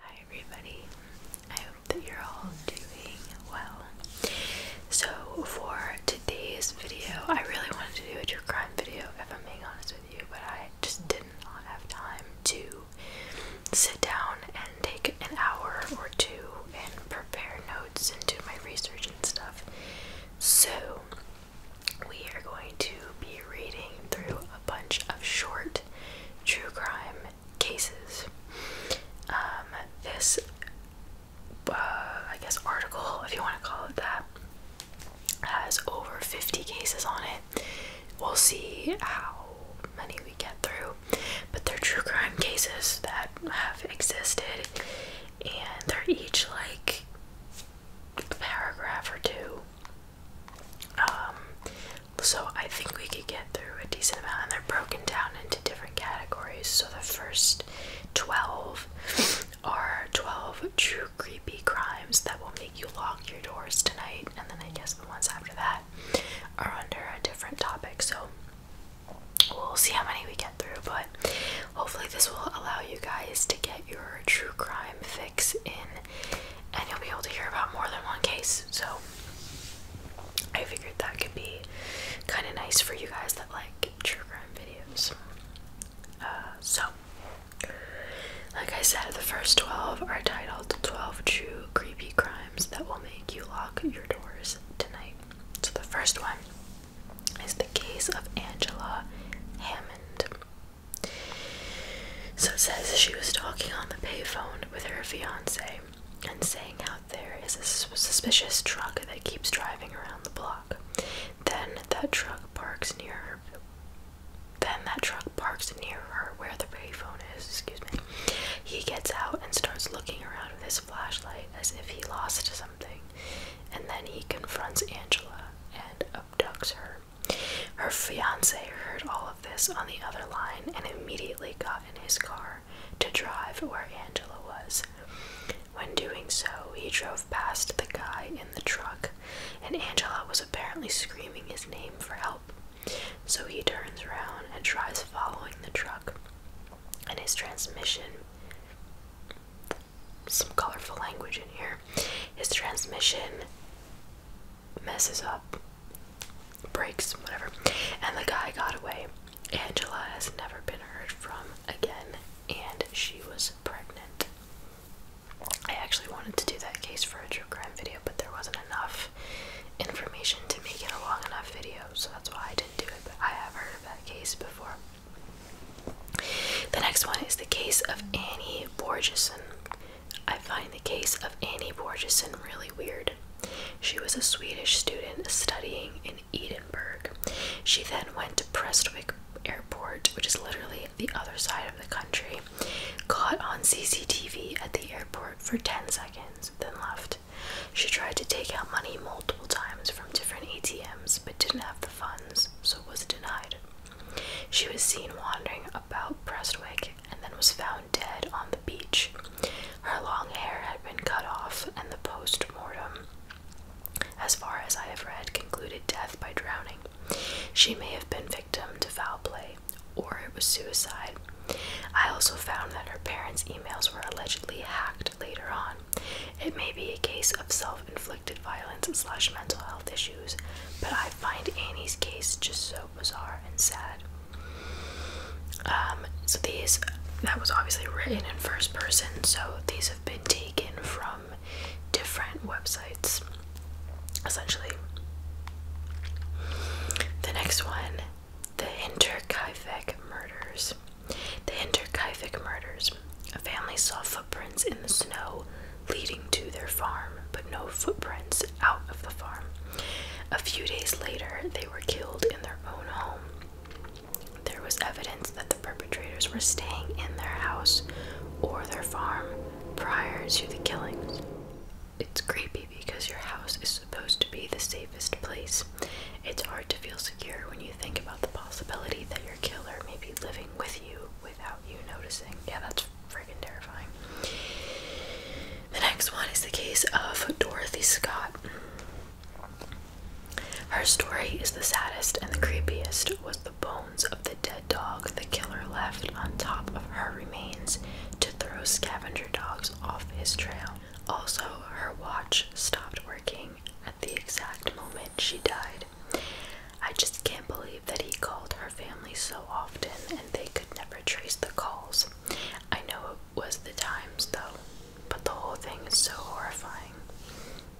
Hi, everybody. I hope that you're all doing well. So, for today's video, I really wanted to do a true crime video, if I'm being honest with you, but I just did not have time to sit down and take an hour or two and prepare notes and do my research and stuff. So, we are going to be reading through a bunch of short true crime cases. Um, this, uh, I guess, article, if you want to call it that, has over 50 cases on it. We'll see how many we get through, but they're true crime cases that have existed, and they're each like paragraph or two. Um, so I think we could get through a decent amount, and they're broken down into different categories. So the first 12 are 12 true creepy crimes that will make you lock your doors tonight, and then I guess the ones after that are under a different topic. So we'll see how many we get through, but hopefully, this will allow you guys to get your true crime fix in, and you'll be able to hear about more than one case. So, I figured that could be kind of nice for you guys that like true crime videos. Uh, so, like I said, the first 12 are titled 12 True Creepy Crimes That Will Make You Lock Your Doors Tonight. So the first one is the case of Angela Hammond. So it says she was talking on the payphone with her fiance and saying out there is a suspicious truck that keeps driving around the block. Then that truck parks near her. Then that truck parks near her where the payphone is. Excuse me. He gets out and starts looking around with his flashlight as if he lost something, and then he confronts Angela and abducts her. Her fiance heard all of this on the other line and immediately got in his car to drive where Angela was. When doing so, he drove past the guy in the truck, and Angela was apparently screaming his name for help. So he turns around and tries following the truck and his transmission. Some colorful language in here. His transmission messes up, breaks, whatever, and the guy got away. Angela has never been heard from again, and she was pregnant. I actually wanted to do that case for a true crime video, but there wasn't enough information to make it a long enough video, so that's why I didn't do it, but I have heard of that case before. The next one is the case of Annie Borgeson. I find the case of Annie Borgeson really weird. She was a Swedish student studying in Edinburgh. She then went to Prestwick Airport, which is literally the other side of the country, caught on CCTV at the airport for 10 seconds, then left. She tried to take out money multiple times from different ATMs but didn't have the funds, so was denied. She was seen wandering about Prestwick and then was found dead on the beach. Her long hair had been cut off, and the post mortem, as far as I have read, concluded death by drowning. She may have been victim to foul play, or it was suicide, I also found that her parents' emails were allegedly hacked later on. It may be a case of self-inflicted violence slash mental health issues, but I find Annie's case just so bizarre and sad. Um, so these that was obviously written in first person, so these have been taken from different websites, essentially. The next one the Hinterkaifeck Murders. The Hinterkaifeck Murders. A family saw footprints in the snow leading to their farm, but no footprints out of the farm. A few days later, they were killed in their own home. There was evidence that the perpetrators were staying in their house or their farm prior to the killings. It's creepy because your house is supposed to be the safest place. It's hard to feel secure when you think about the possibility that your killer may be living with you without you noticing. Yeah, that's freaking terrifying. The next one is the case of Dorothy Scott. Her story is the saddest and the creepiest was the bones of the dead dog the killer left on top of her remains to throw scavenger dogs off his trail. Also, her watch stopped working at the exact moment she died. I just can't believe that he called her family so often and they could never trace the calls. I know it was the times though, but the whole thing is so horrifying.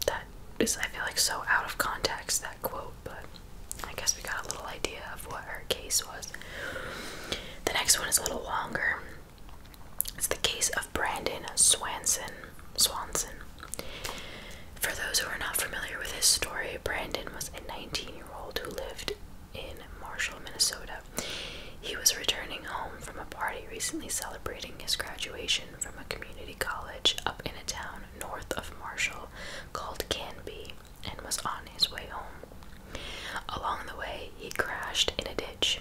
That is, I feel like, so out of context, that quote, but I guess we got a little idea of what her case was. The next one is a little longer. It's the case of Brandon Swanson. Swanson. For those who are not familiar with his story, Brandon was a 19-year-old who lived in Marshall, Minnesota. He was returning home from a party recently celebrating his graduation from a community college up in a town north of Marshall called Canby and was on his way home. Along the way, he crashed in a ditch.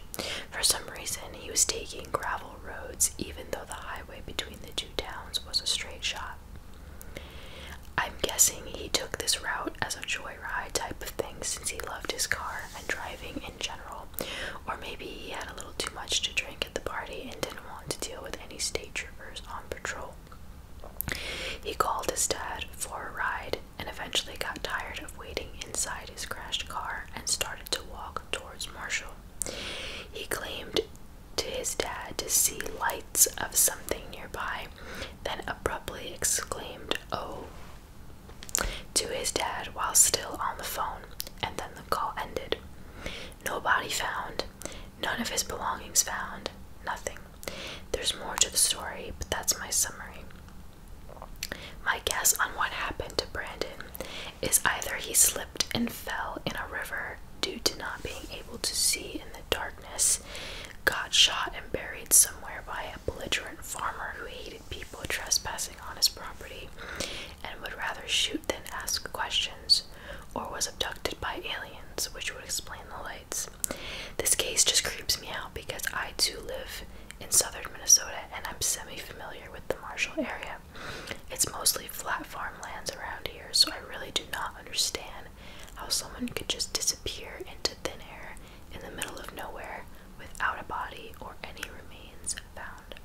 For some reason, he was taking gravel roads, even though the highway between the two towns was a straight shot. I'm guessing he took this route as a joyride type of thing since he loved his car and driving in general, or maybe he had a little too much to drink at the party and didn't want to deal with any state troopers on patrol. He called his dad for a ride and eventually got tired of waiting inside his crashed car and started to walk towards Marshall. He claimed to his dad to see lights of something nearby, then abruptly exclaimed, Oh, to his dad while still on the phone, and then the call ended. No body found, none of his belongings found, nothing. There's more to the story, but that's my summary. My guess on what happened to Brandon is either he slipped and fell in a river due to not being able to see in the darkness, got shot and buried somewhere by a belligerent farmer who hated people trespassing on his property and would rather shoot than ask questions, or was abducted by aliens, which would explain the lights. This case just creeps me out because I too live in southern Minnesota, and I'm semi familiar with the Marshall area. It's mostly flat farmlands around here, so I really do not understand how someone could just disappear into thin air in the middle of nowhere without a body or any remains found.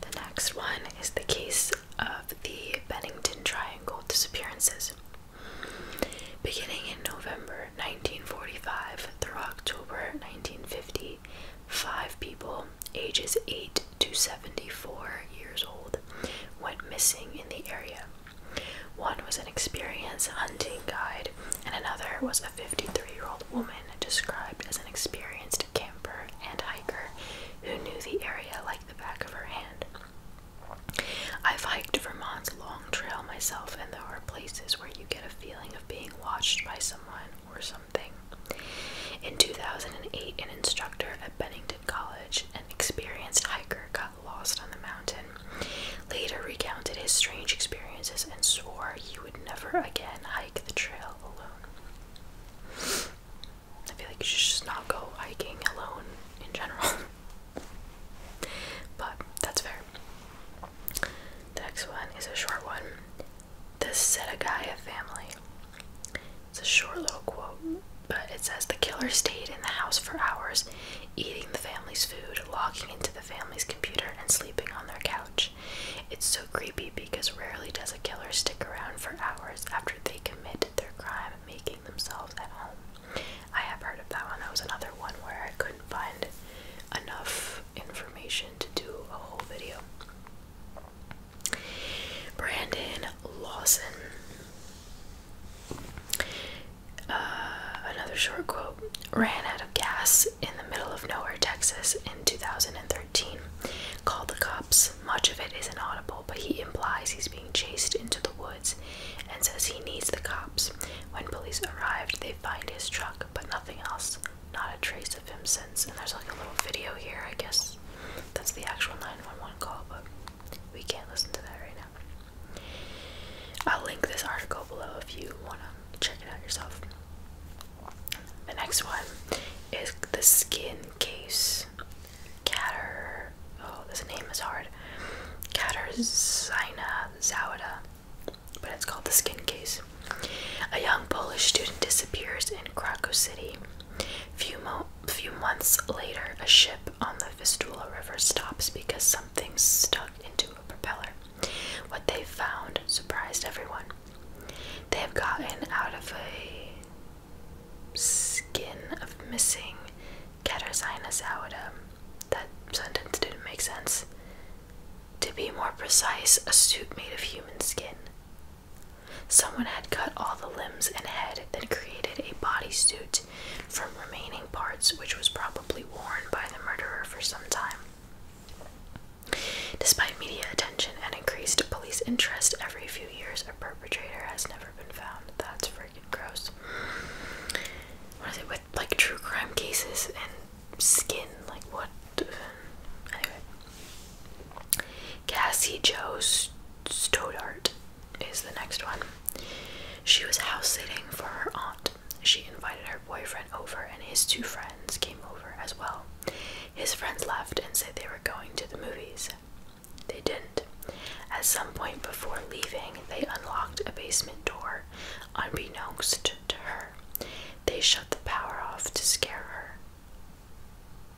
The next one is the case of the Bennington Triangle disappearances. Beginning in November 1945 through October 1955, five people, ages 8 to 74 years old, went missing in the area. One was an experienced hunting guide, and another was a 53 year old woman described as an experienced camper and hiker who knew the area like the back of her hand. I've hiked Vermont's long trail myself, and there are places where you get a feeling of being watched by someone or something. In 2008, an instructor at Bennington College, an experienced hiker, got lost on the mountain. Later, recounted his strange experiences and swore he would never again hike the trail alone. I feel like you should just not go hiking alone in general. But that's fair. The next one is a short one. The Setagaya family. It's a short little quote, but it says the killer stayed in the house for hours, eating the family's food, logging into the family's computer, and sleeping on their couch. It's so creepy because rarely does a killer stick around for hours after they commit their crime, making themselves at home. I have heard of that one. That was another one where I couldn't find enough information to do a whole video. Brandon Lawson. Uh, another short quote ran out of gas in the middle of nowhere, Texas in 2013. Called the cops. Much of it is inaudible, but he implies he's being chased into the woods and says he needs the cops. When police arrived, they find his truck, but nothing else. Not a trace of him since. And there's like a little video here, I guess. That's the actual 911 call, but we can't listen to that right now. I'll link this article below if you want to check it out yourself. The next one is the skin case. Catter. Oh, this name is hard. Katarzyna um, Zawada, but it's called the Skin Case. A young Polish student disappears in Krakow City. Few, mo few months later, a ship on the Vistula River stops because something stuck into a propeller. What they found surprised everyone. They have gotten out of a skin of missing Katarzyna Zawada, that sentence didn't make sense. To be more precise, a suit made of human skin. Someone had cut all the limbs and head, then created a body suit from remaining parts, which was probably worn by the murderer for some time. Despite media attention and increased police interest every few years, a perpetrator has never been found. That's for gross. What is it with like true crime cases and skin? Like what? Anyway, Cassie Joe Stodart is the next one. She was house sitting for her aunt. She invited her boyfriend over, and his two friends came over as well. His friends left and said they were going to the movies. They didn't. At some point before leaving, they unlocked a basement door Unbeknownst to her, they shut the power off to scare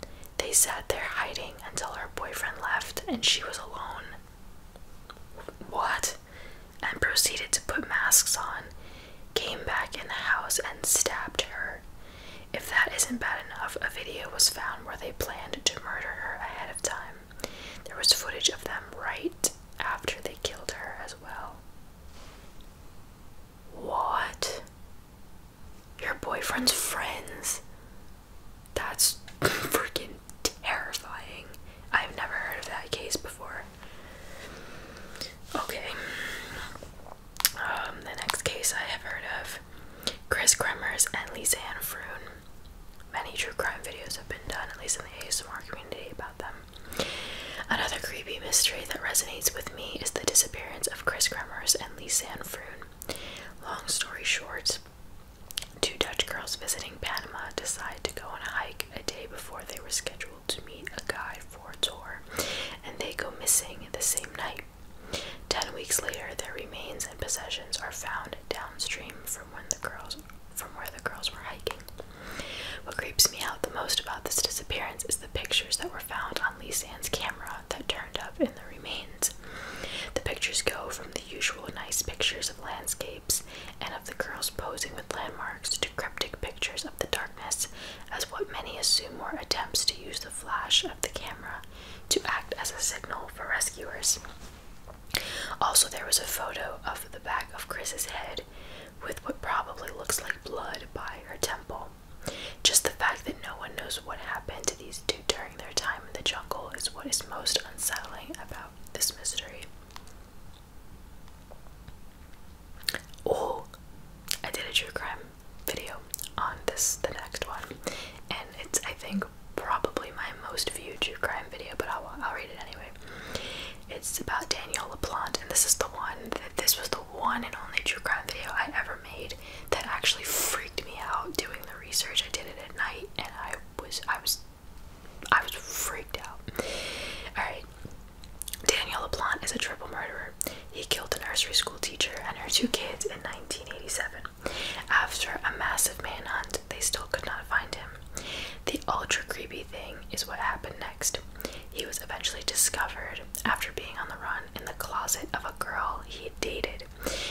her. They sat there hiding until her boyfriend left and she was alone. What? And proceeded to put masks on, came back in the house and stabbed her. If that isn't bad enough, a video was found where they planned to murder her ahead of time. There was footage of them right after they killed her as well. What? Your boyfriend's friends? That's freaking terrifying. I've never heard of that case before. Okay. Um, the next case I have heard of Chris Kremers and Lisa Ann Many true crime videos have been done, at least in the ASMR community, about them. Another creepy mystery that resonates with me is the disappearance of Chris Kremers and Lisa Froon. Long story short, two Dutch girls visiting Panama decide to go on a hike a day before they were scheduled to meet a guide for a tour, and they go missing the same night. Ten weeks later, their remains and possessions are found downstream from from where the girls were hiking. What creeps me out the most about this disappearance is the pictures that were found on Lee Sands' camera that turned up in the remains. The pictures go from the usual nice pictures of landscapes and of the girls posing with landmarks to cryptic pictures of the darkness as what many assume were attempts to use the flash of the camera to act as a signal for rescuers. Also, there was a photo of the back of Chris's head with what probably looks like blood by her temple. Just the fact that no one knows what happened to these two during their time in the jungle is what is most unsettling about this mystery. Oh, I did a true crime video on this, the next one, and it's, I think, probably my most viewed true crime video, but I'll, read it anyway. It's about Danielle LaPlante, and this is the one that this was the one and only true crime video I ever made that actually freaked me out doing the research. I did it at night and I was I was I was freaked out. Alright. Danielle LaPlante is a triple murderer. He killed a nursery school teacher and her two kids in 1987. After a massive manhunt, they still could not find him. The ultra creepy thing is what happened next. He was eventually discovered after being on the run in the closet of a girl he had dated.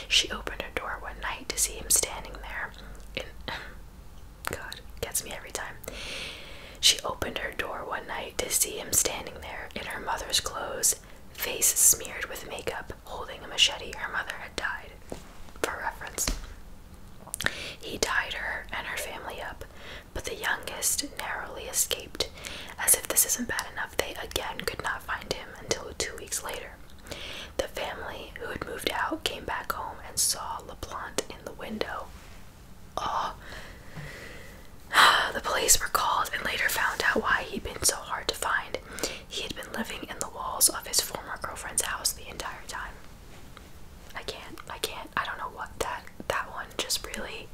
She opened her door one night to see him standing there. God, gets me every time. She opened her door one night to see him standing there in her mother's clothes, face smeared with makeup, holding a machete. Her mother had died. For reference. He tied her and her family up, but the youngest narrowly escaped. As if this isn't bad enough, they again could not find him until two weeks later. The family who had moved out came back home and saw LaPlante in the window. Oh. The police were called and later found out why he'd been so hard to find. He had been living in the walls of his former girlfriend's house the entire time. I can't. I can't. I don't know what that that one just really.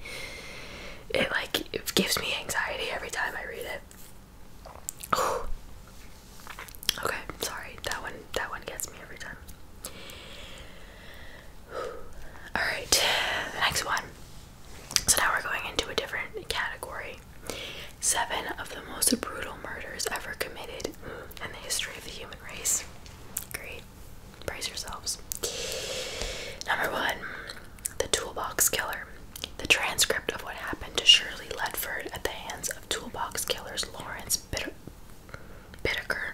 It like gives me anxiety every time I read it. Oh. Okay, sorry. That one that one gets me every time. All right. Next one. So now we're going into a different category. Seven of the most brutal murders ever committed and the history of the human race. Great. praise yourselves. Number one, the Toolbox Killer. The transcript of what happened to Shirley Ledford at the hands of toolbox killers Lawrence Bittaker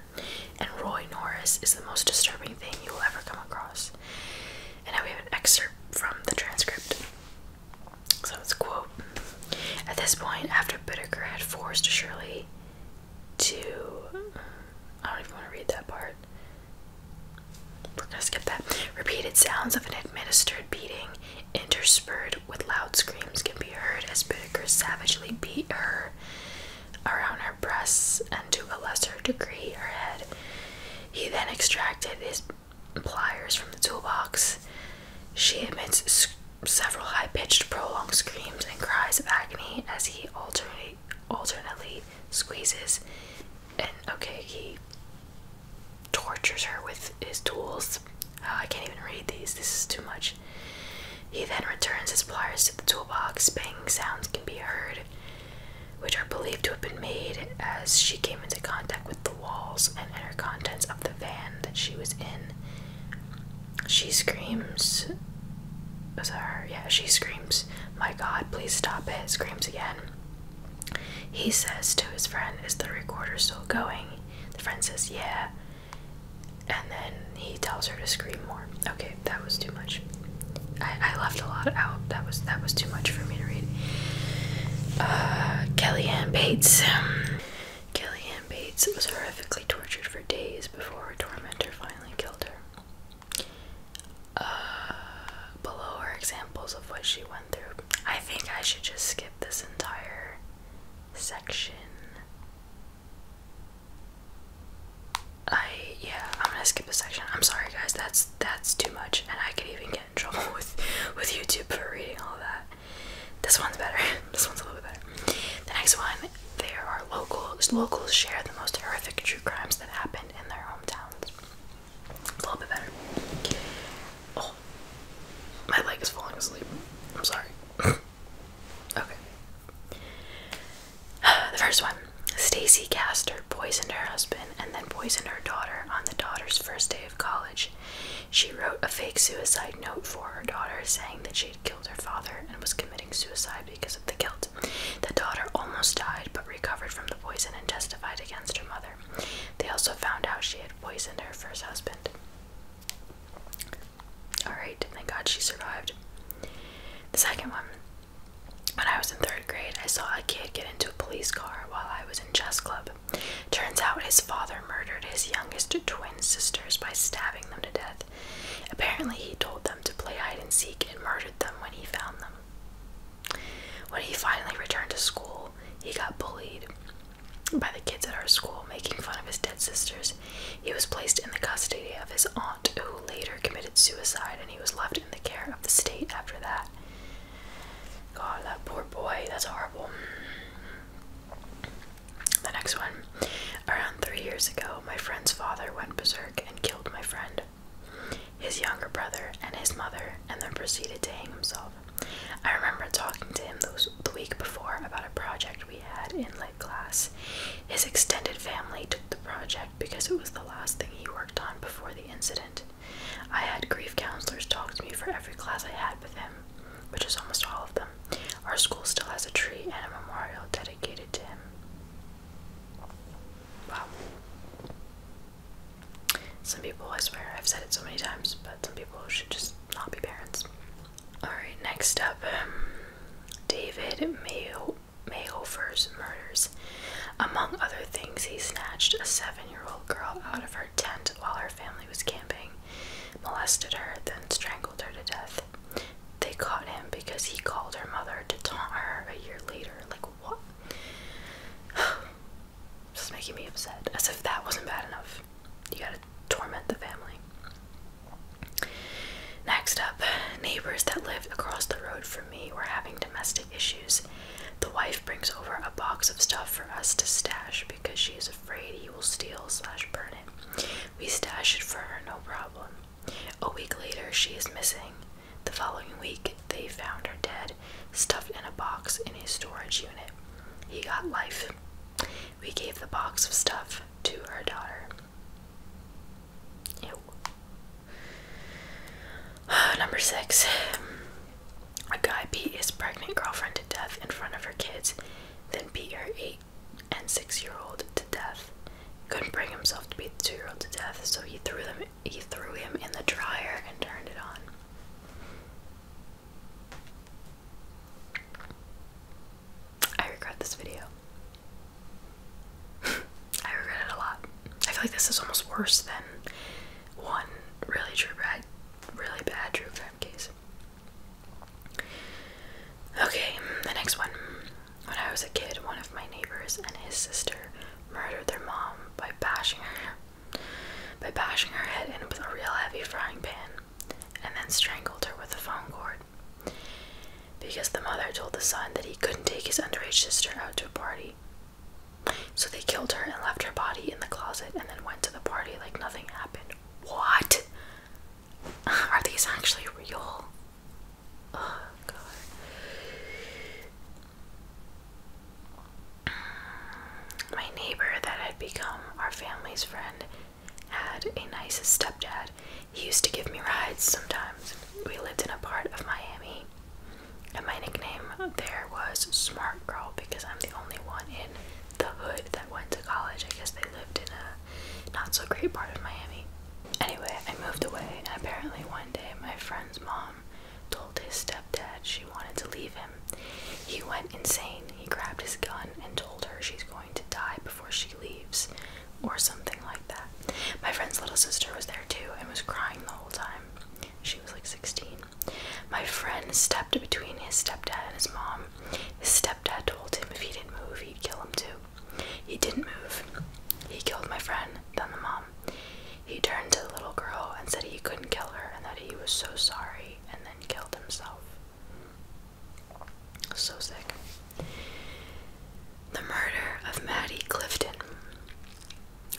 and Roy Norris is the most disturbing thing you will ever come across. And now we have an excerpt from the transcript. So it's quote at this point, after Bittaker had forced Shirley to. I don't even want to read that part. We're skip that. Repeated sounds of an administered beating, interspersed with loud screams, can be heard as Bittaker savagely beat her around her breasts and to a lesser degree her head. He then extracted his pliers from the toolbox. She emits several high-pitched, prolonged screams and cries of agony as he alternate, alternately squeezes and okay, he tortures her with his tools. Oh, I can't even read these. This is too much. He then returns his pliers to the toolbox. Banging sounds can be heard, which are believed to have been made as she came into contact with the walls and inner contents of the van that she was in. She screams. Was her? Yeah, she screams, My God, please stop it. Screams again. He says to his friend, Is the recorder still going? The friend says, Yeah. And then he tells her to scream more. Okay, that was too much. I, I left a lot out. That was that was too much for me to read. Uh, Kellyanne Bates. Kellyanne Bates was horrifically tortured for days before her tormentor finally killed her. Uh, below are examples of what she went through. I think I should just skip this entire section. I yeah, I'm gonna skip a section. I'm sorry guys, that's that's too much, and I could even get in trouble with with YouTube for reading all that. This one's better. this one's a little bit better. The next one, there are locals. Locals share the most horrific true crimes that happened in their hometowns. a little bit better. Oh, my leg is falling asleep. I'm sorry. okay. The first one. Stacy Castor poisoned her husband and then poisoned her daughter on the daughter's first day of college. She wrote a fake suicide note for her daughter saying that she killed her father and was committing suicide because of the guilt. The daughter almost died but recovered from the poison and testified against her mother. They also found out she had poisoned her first husband. Alright, thank God she survived. The second one. When I was in third grade, I saw a kid get into a police car while I was in chess club. Turns out his father murdered his youngest twin sisters by stabbing them to death. Apparently, he told them to play hide and seek and murdered them when he found them. When he finally returned to school, he got bullied by the kids at our school, making fun of his dead sisters. He was placed in the custody of his aunt, who later committed suicide, and he was left in the care of the state after that. God, that poor boy, that's horrible. The next one. Around three years ago, my friend's father went berserk and killed my friend, his younger brother, and his mother, and then proceeded to hang himself. I remember talking to him those, the week before about a project we had in lit class. His extended family took the project because it was the last thing he worked on before the incident. I had grief counselors talk to me for every class I had with him, which is almost all of them. Our school still has a tree and a memorial dedicated to him. Wow. Some people, I swear, I've said it so many times, but some people should just not be parents. Alright, next up um, David Mayo. Mayhofer's murders. Among other things, he snatched a seven year old girl out of her tent while her family was camping molested her, then strangled her to death. They caught him because he called her mother to taunt her a year later. Like, what? this is making me upset. As if that wasn't bad enough. You gotta torment the family. Next up, neighbors that live across the road from me were having domestic issues. The wife brings over a box of stuff for us to stash because she is afraid he will steal slash burn it. We stash it for her, no problem. A week later, she is missing. The following week, they found her dead, stuffed in a box in a storage unit. He got life. We gave the box of stuff to her daughter. Ew. Number six. A guy beat his pregnant girlfriend to death in front of her kids, then beat her eight and six year old to death. Couldn't bring himself to beat the two year old to death, so he threw them he threw him in the dryer and turned it on. I regret this video. I regret it a lot. I feel like this is almost worse than one really true really bad true crime case. Okay, the next one. When I was a kid, one of my neighbors and his sister murdered their mom by bashing her by bashing her head in with a real heavy frying pan and then strangled her with a phone cord. Because the mother told the son that he couldn't take his underage sister out to a party. So they killed her and left her body in the closet and then went to the party like nothing happened. What? Are these actually real? Oh god. My neighbor that had become our family's friend had a nice stepdad. He used to give me rides sometimes. We lived in a part of Miami. And my nickname there was Smart Girl because I'm the only one in the hood that went to college. I guess they lived in a not so great part of Miami. Anyway, I moved away, and apparently one day my friend's mom told his stepdad she wanted to leave him. He went insane. He grabbed his gun and told her she's going to die before she leaves, or something like that. My friend's little sister was there too and was crying the whole time. She was like 16. My friend stepped between his stepdad and his mom his stepdad told him if he didn't move, he'd kill him too. He didn't move. He killed my friend, then the mom. He turned to the little girl and said he couldn't kill her and that he was so sorry, and then killed himself. So sick. The murder of Maddie Clifton.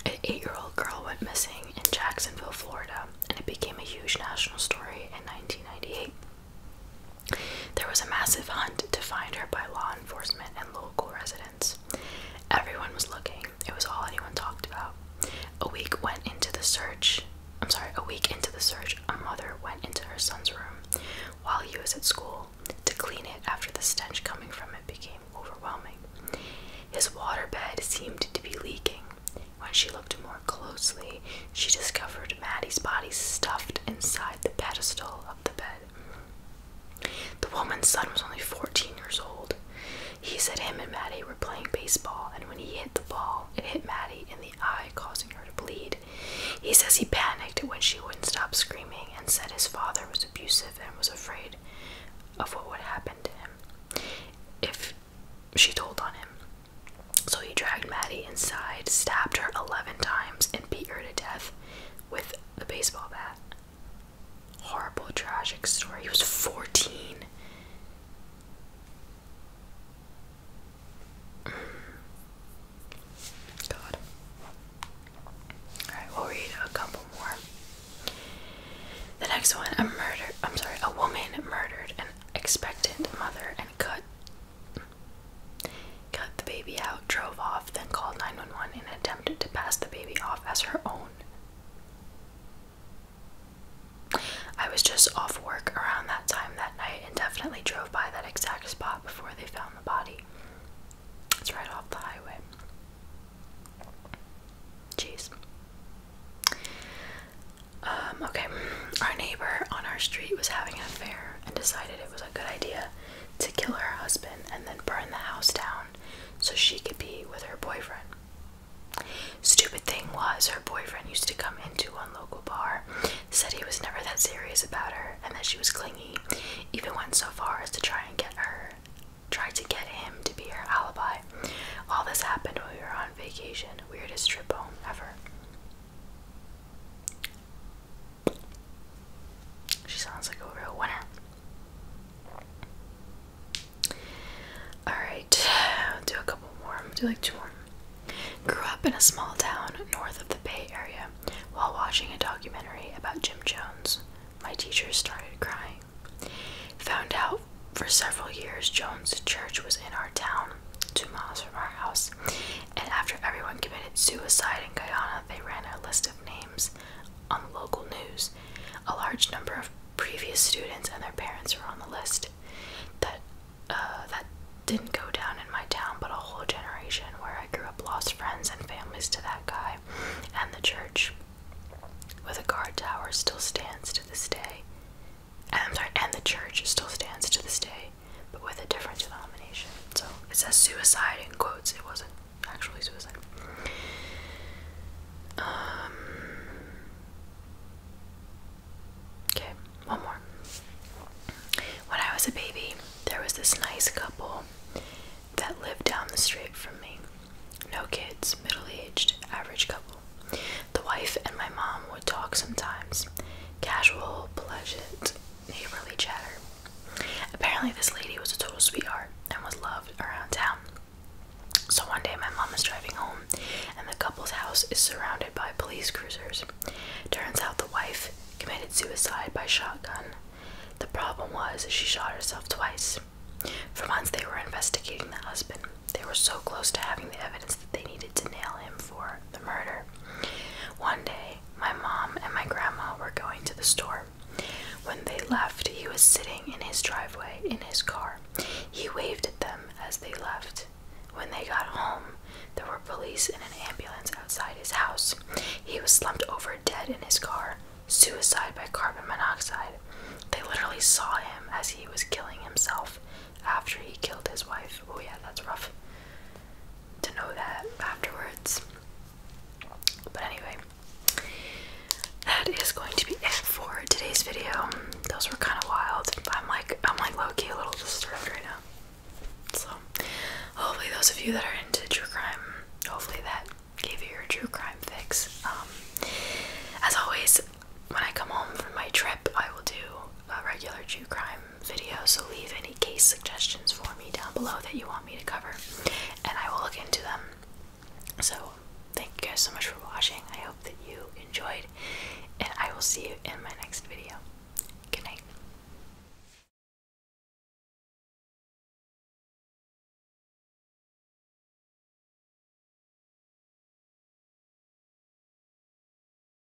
An eight year old girl went missing in Jacksonville, Florida, and it became a huge national story in 1998. There was a massive hunt to find her by law enforcement and local residents. Everyone was looking. It was all anyone talked about. A week went into the search. I'm sorry, a week into the search, a mother went into her son's room while he was at school to clean it after the stench coming from it became overwhelming. His water bed seemed to be leaking. When she looked more closely, she discovered Maddie's body stuffed inside the pedestal of the bed. The woman's son was only 14 years old. He said him and Maddie were playing baseball, and when he hit the ball, it hit Maddie in the eye, causing her to bleed. He says he panicked when she wouldn't stop screaming and said his father was abusive and was afraid of what would happen to him if she told on him. So he dragged Maddie inside, stabbed her 11 times, and beat her to death with a baseball bat. Horrible, tragic story. He was 14. Mm. God. Alright, we'll read a couple more. The next one, a murder I'm sorry, a woman murdered an expectant mother and cut Cut the baby out, drove off, then called 911 and attempted to pass the baby off as her own. I was just off work around that time that night and definitely drove by that exact spot before they found the body. It's right off the highway. Jeez. Um, okay, our neighbor on our street was having an affair and decided it was a good idea to kill her husband and then burn the house down so she could be with her boyfriend. Stupid thing was, her boyfriend used to come into one local bar, said he was never that serious about her and that she was clingy, even went so far as to try and get her, try to get him to be her alibi. All this happened when we were on vacation, weirdest trip home ever. She sounds like a real winner. Alright, do a couple more. I'll do like two more. Grew up in a small town north of the Bay Area while watching a documentary about Jim Jones. My teacher started crying. Found out for several years Jones' church was in our town, two miles from our house, and after everyone committed suicide in Guyana, they ran a list of names on local news. A large number of previous students and their parents were on the list. That uh, that didn't go down in my town, but a whole generation where I grew up lost friends and families to that guy, and the church, with a guard tower, still stands to this day. and the church still stands to this day but with a different denomination. So it says suicide in quotes, it wasn't actually suicide. Um, okay, one more. When I was a baby, there was this nice couple that lived down the street from me. No kids, middle aged, average couple. The wife and my mom would talk sometimes, casual, pleasant, neighborly chatter. Apparently, this lady was a total sweetheart and was loved around town. So one day, my mom is driving home, and the couple's house is surrounded by police cruisers. Turns out the wife committed suicide by shotgun. The problem was she shot herself twice. For months, they were investigating the husband. They were so close to having the evidence that they needed to nail him for the murder. One day, my mom and my grandma were going to the store. When they left, he was sitting in his driveway in his car. He waved at them as they left. When they got home, there were police and an ambulance outside his house. He was slumped over dead in his car, suicide by carbon monoxide. They literally saw him as he was killing himself after he killed his wife. Oh, yeah, that's rough to know that afterwards. But anyway, that is going to be it for today's video. Those were kind of wild. I'm like I'm like low-key a little disturbed right now. So hopefully those of you that are into true crime, hopefully that gave you your true crime fix. Um, as always, when I come home from my trip, I will do a regular true crime video, so leave any case suggestions for me down below that you want me to cover, and I will look into them. So, thank you guys so much for watching. I hope that you enjoyed, and I will see you in my next video. Good night.